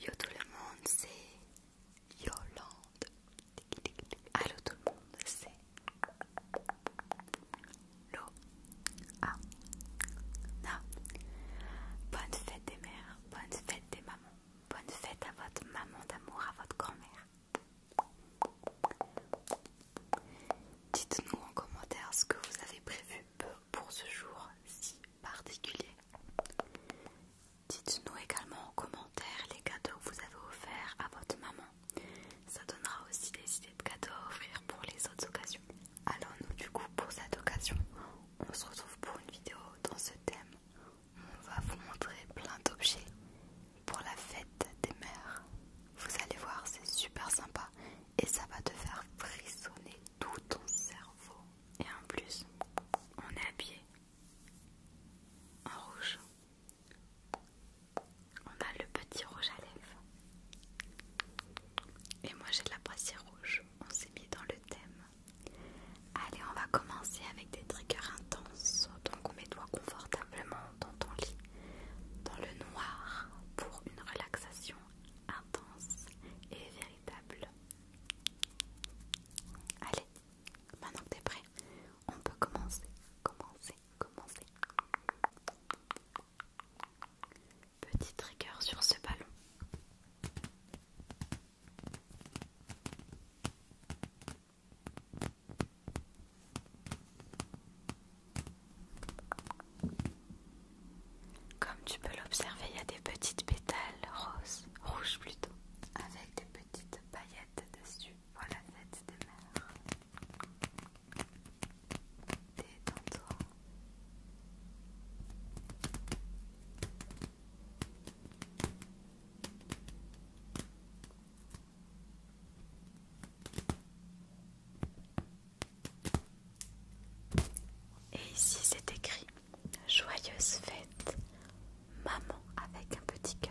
Yo tout le monde, c'est Yolande. Allo tout le monde, c'est Lo. Bonne fête des mères, bonne fête des mamans, bonne fête à votre maman d'amour, à votre grand-mère. Dites-nous en commentaire ce que vous avez prévu pour ce jour si particulier. Dites-nous également en commentaire les cadeaux que vous avez offerts à votre maman. Ça donnera aussi des idées de cadeaux à offrir pour les autres occasions. allons nous du coup pour cette occasion, on se retrouve pour une vidéo dans ce thème. On va vous montrer plein d'objets pour la fête des mères. Vous allez voir, c'est super sympa et ça va te faire frissonner tout ton cerveau. Et en plus, on est habillé en rouge. On a le petit rouge à lèvres. Et moi j'ai de la brassière rouge. On s'est mis dans le thème. Allez, on va commencer avec des triggers intenses. Donc on mets-toi confortablement dans ton lit, dans le noir, pour une relaxation intense et véritable. Allez, maintenant que t'es prêt, on peut commencer, commencer, commencer. Petit trigger sur ce ballon. Comme tu peux l'observer, il y a des petites pétales roses, rouges plutôt, avec des petites paillettes dessus Voilà la fête des mères. Et ici c'est écrit Joyeuse fête, maman avec un petit cœur.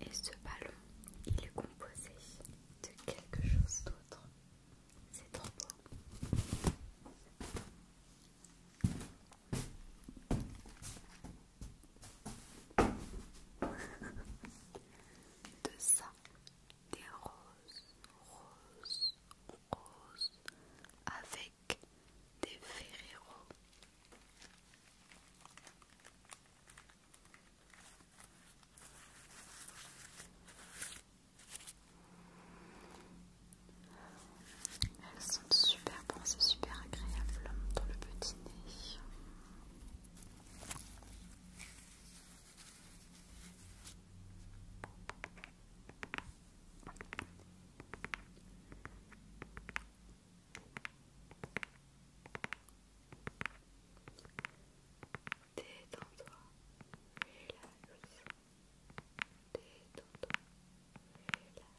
Et ce ballon, il est composé de quelque chose d'autre. C'est trop beau de ça, des roses, roses, roses, avec des Ferrero. Elles sont super bon, c'est super agréable dans le petit dîner. Détends-toi, relaxe. Détends-toi, relaxe.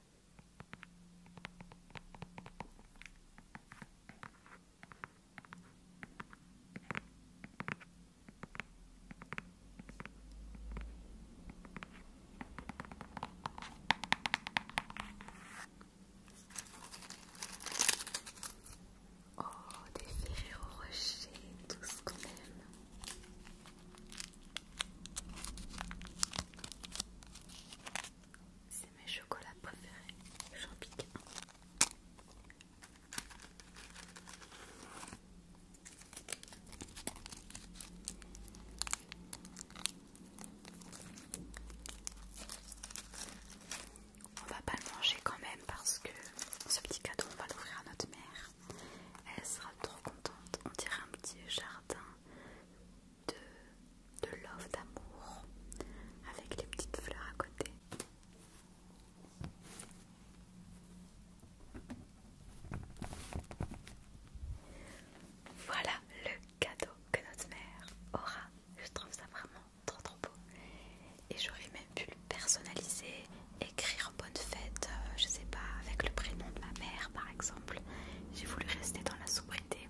Oh, des ferrures au rocher, tout ce qu'on aime. C'est mes chocolats préférés. J'en pique un. On va pas le manger quand même parce que ce petit cadeau on va l'ouvrir à notre mère. Elle sera trop contente. On dirait un petit jardin de, love, d'amour, avec les petites fleurs à côté. Voilà le cadeau que notre mère aura. Je trouve ça vraiment trop trop beau. Et j'aurais même pu le personnaliser, écrire bonne fête, euh, je sais pas, avec le prénom de ma mère par exemple, j'ai voulu rester dans la sobriété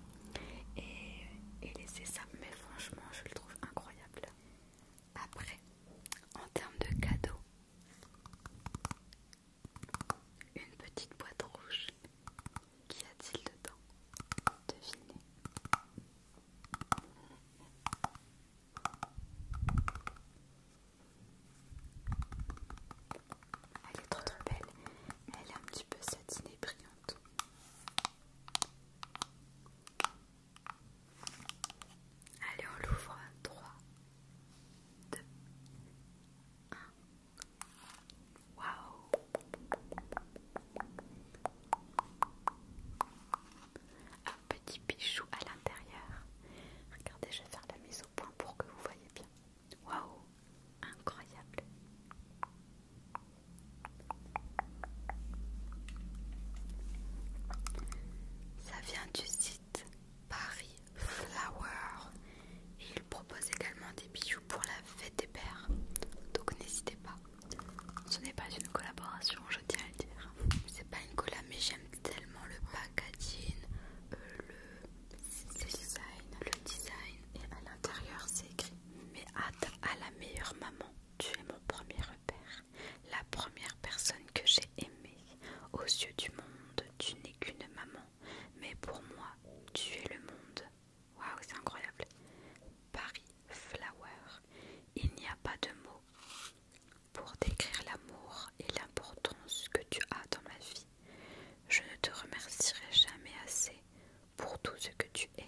et, et laisser ça, mais franchement je le trouve incroyable. Après, en termes de cadeaux, une petite boîte rouge, qu'y a-t-il dedans Devinez. Elle est trop trop belle, elle est un petit peu satinée brillante. Allez, on l'ouvre. 3, 2, 1. Waouh! Un petit bijou à l'intérieur. Regardez, je vais faire la mise au point pour que vous voyez bien. Waouh, incroyable. Ça vient du site Paris Flower et il propose également des bijoux pour la fête des pères. Donc n'hésitez pas. Ce n'est pas une collaboration, je tiens à le dire. C'est pas une collab mais j'aime tellement le packaging, euh, le le design, le design et à l'intérieur c'est écrit Mais hâte à la meilleure maman, tu es mon premier repère, la première personne que j'ai aimée. Aux yeux du monde, tu n'es qu'une maman, mais pour moi, tu es le monde. Waouh, c'est incroyable! Paris Flower, il n'y a pas de mots pour décrire l'amour et l'importance que tu as dans ma vie. Je ne te remercierai jamais assez pour tout ce que tu es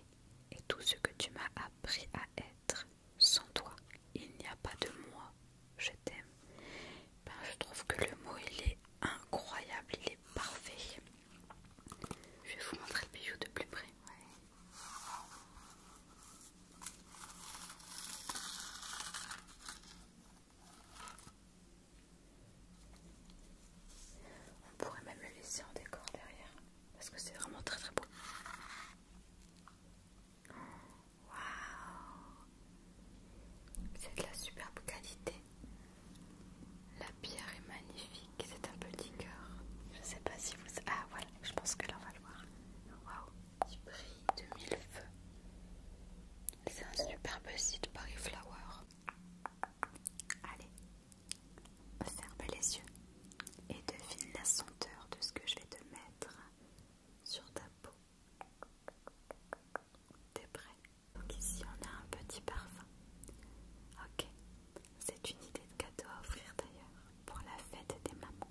et tout ce que tu m'as appris à être. Sans toi, il n'y a pas de moi. Je t'aime. Ben, je trouve que le mot il est incroyable, il est parfait. Je vais vous montrer le bijou de plus près. On pourrait même le laisser en décor derrière parce que c'est vraiment très très beau. Waouh! C'est de la superbe qualité. La pierre est magnifique, c'est un petit cœur. Je sais pas si vous. Ah voilà, je pense que là on va le voir. Waouh! Il brille de mille feux. C'est un superbe site Paris Flower. Allez, ferme les yeux et devine la senteur de ce que je vais te mettre sur ta peau. T'es prêt Donc ici on a un petit parfum. Ok, c'est une idée de cadeau à offrir d'ailleurs pour la fête des mamans.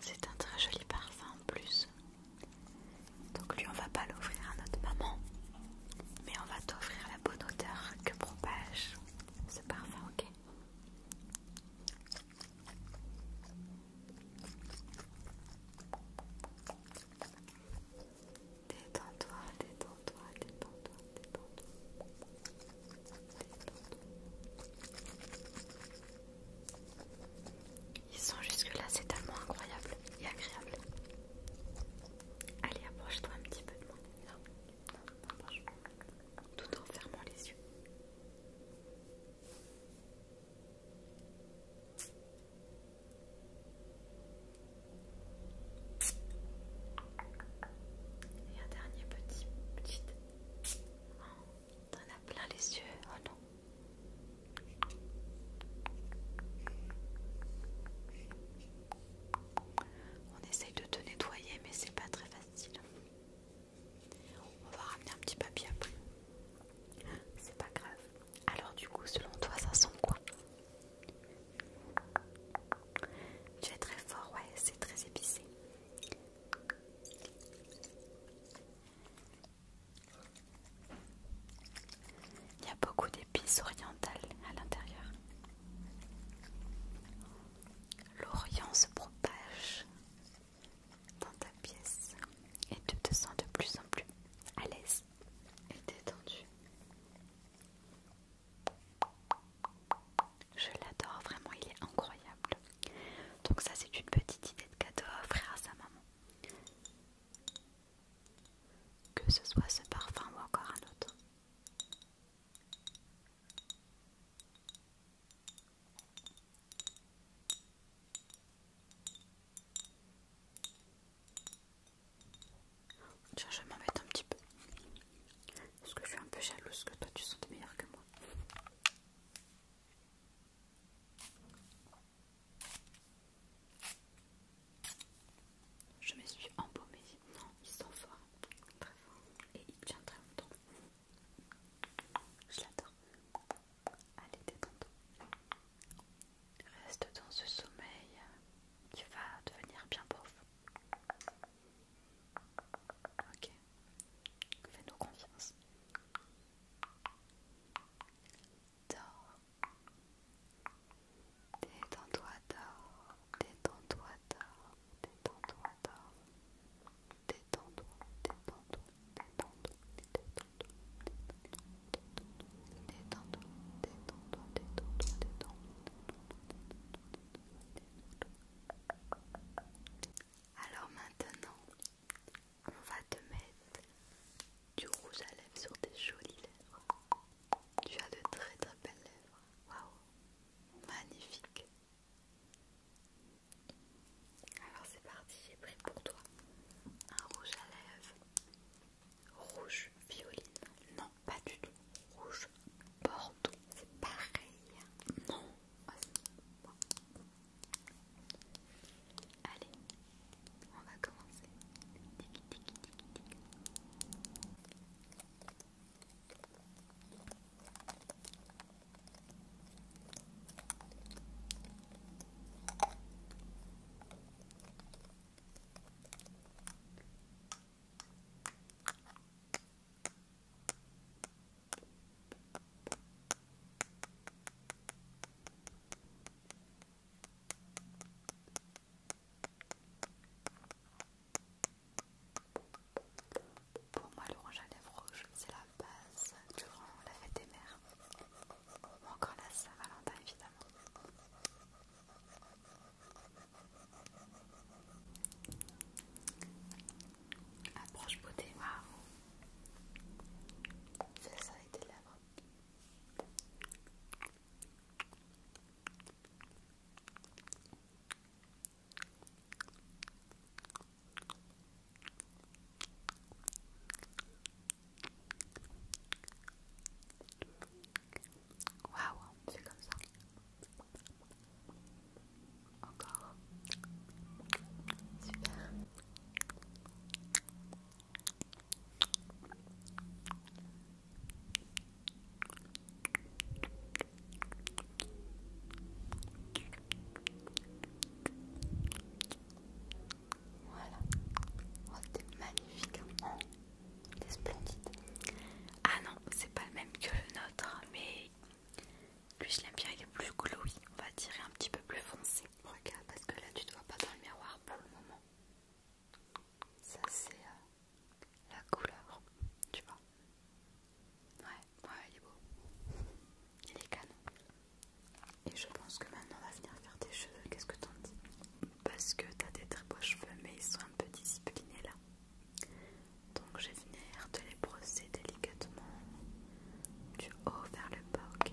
C'est un très joli parfum en plus. Donc lui on va pas l'offrir à notre maman, mais on va t'offrir la bonne odeur que propage ce parfum, ok Détends-toi, détends-toi, détends-toi, détends-toi. Ils sont jusque là, c'est tellement incroyable et agréable. Allez, approche-toi un petit peu de moi. Non, non, Tout en fermant les yeux. Et un dernier petit, petite T'en as plein les yeux, oh non. On essaye de te nettoyer, mais c'est pas très facile. On va ramener un petit papier après. C'est pas grave. Alors, du coup, selon toi, ça sent quoi Tu es très fort, ouais, c'est très épicé. Il y a beaucoup d'épices orientales à l'intérieur. L'Orient se propage dans ta pièce et tu te sens de plus en plus à l'aise et détendu. Je l'adore vraiment, il est incroyable. Donc ça c'est une petite idée de cadeau à offrir à sa maman. Que ce soit ce parfum ou encore un autre. Tiens, je m'embête un petit peu. Parce que je suis un peu jalouse que toi tu sentes meilleur que moi. Je me suis embaumée. Non, il sont fort, très forts. et il tient très longtemps. Je l'adore. Allez, détends-toi. Reste dans ce sommeil qui va devenir bien pauvre. Ok, fais-nous confiance. Dors. Détends-toi, dors. Détends-toi, dors. Détends-toi, Détends-toi, alors maintenant, on va te mettre du rouge à lèvres sur tes jolies lèvres. Tu as de très très belles lèvres. Waouh, magnifique. Alors c'est parti, j'ai pris pour toi un rouge à lèvres rouge violine. Non, pas du tout. Rouge, bordeaux, c'est pareil. Non. Allez, on va commencer. Pour moi, l'orange à lèvres rouge, c'est la base durant la fête des mères. Encore la Saint-Valentin, évidemment. Approche beauté, waouh! Fais ça Waouh, c'est comme ça. Encore. Super. Voilà, oh, c'était magnifique. Hein. Des splendide. Ah non, c'est pas le même que le nôtre, mais plus je l'aime bien, il est plus glowy, on va dire, un petit peu plus foncé. Regarde, parce que là tu te vois pas dans le miroir pour le moment. Ça c'est euh, la couleur, tu vois. Ouais, ouais, il est beau. Il est canon. Et je pense que maintenant on va venir faire tes cheveux, qu'est-ce que t'en dis parce que t'as des très beaux cheveux mais ils sont un peu disciplinés là donc je vais venir te les brosser délicatement du haut vers le bas ok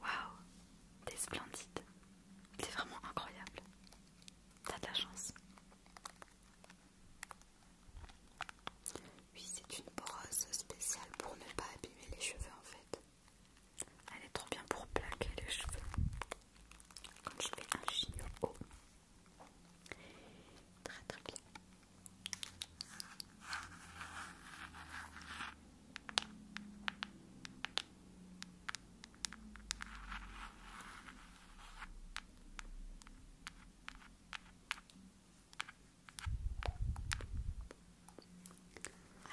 Waouh, t'es splendide. T'es vraiment incroyable. T'as de la chance. Oui, c'est une brosse spéciale pour ne pas abîmer les cheveux en fait. Elle est trop bien pour plaquer les cheveux. Quand je fais un chignon haut. Très très bien.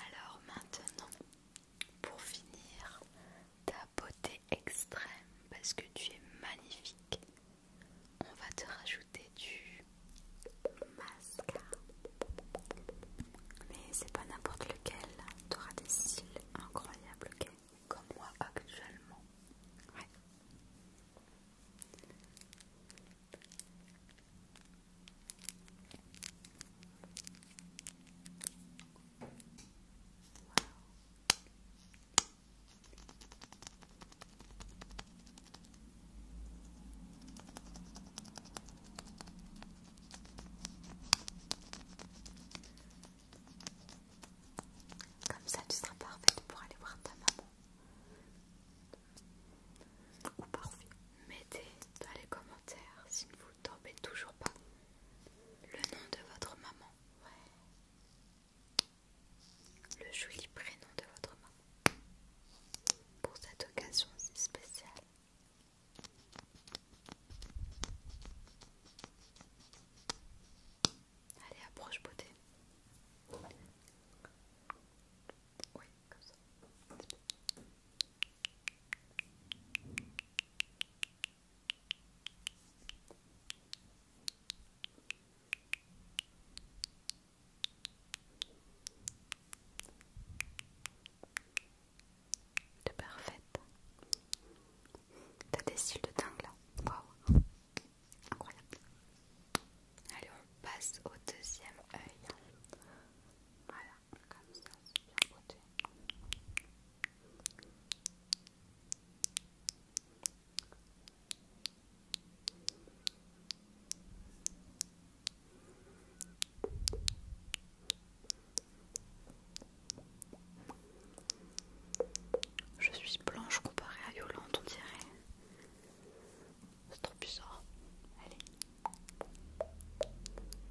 Alors maintenant, pour finir, ta beauté extrême, parce que tu es magnifique, on va te rajouter du masque Mais c'est pas n'importe lequel, Tu auras des cils incroyables, Comme moi actuellement. Comme ça, tu seras parfaite pour aller voir ta maman. Ou parfait. Mettez dans les commentaires si vous tombez toujours pas le nom de votre maman. Ouais le joli prénom de votre maman pour cette occasion si spéciale. Allez, approche beauté. Oui, comme ça de parfaite. T'as des styles de dingue là, incroyable. Allez, on passe au deuxième œil. Voilà, comme ça, c'est je suis blanche comparée à Yolande, on dirait. C'est trop bizarre. Allez.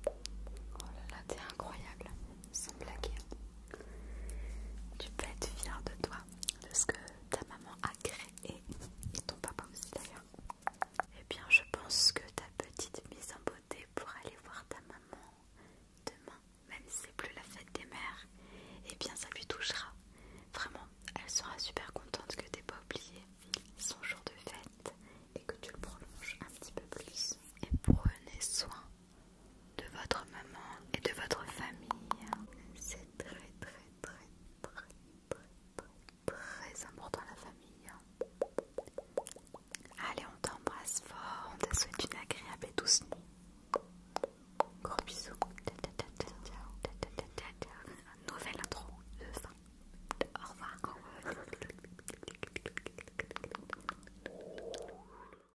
Oh là là, t'es incroyable. Sans blaguer. Tu peux être fière de toi de ce que ta maman a créé et ton papa aussi d'ailleurs. Eh bien, je pense que ta petite mise en beauté pour aller voir ta maman demain, même si c'est plus la fête des mères, eh bien ça lui touchera. Vraiment, elle sera super contente que t'aies pas oublié son jour de fête et que tu le prolonges un petit peu plus. Et prenez soin de votre maman et de votre famille. C'est très très très très très très important la famille. Allez, on t'embrasse fort, on te souhaite une agréable et douce nuit. Gros bisous. Nouvelle intro de fin. de Au revoir.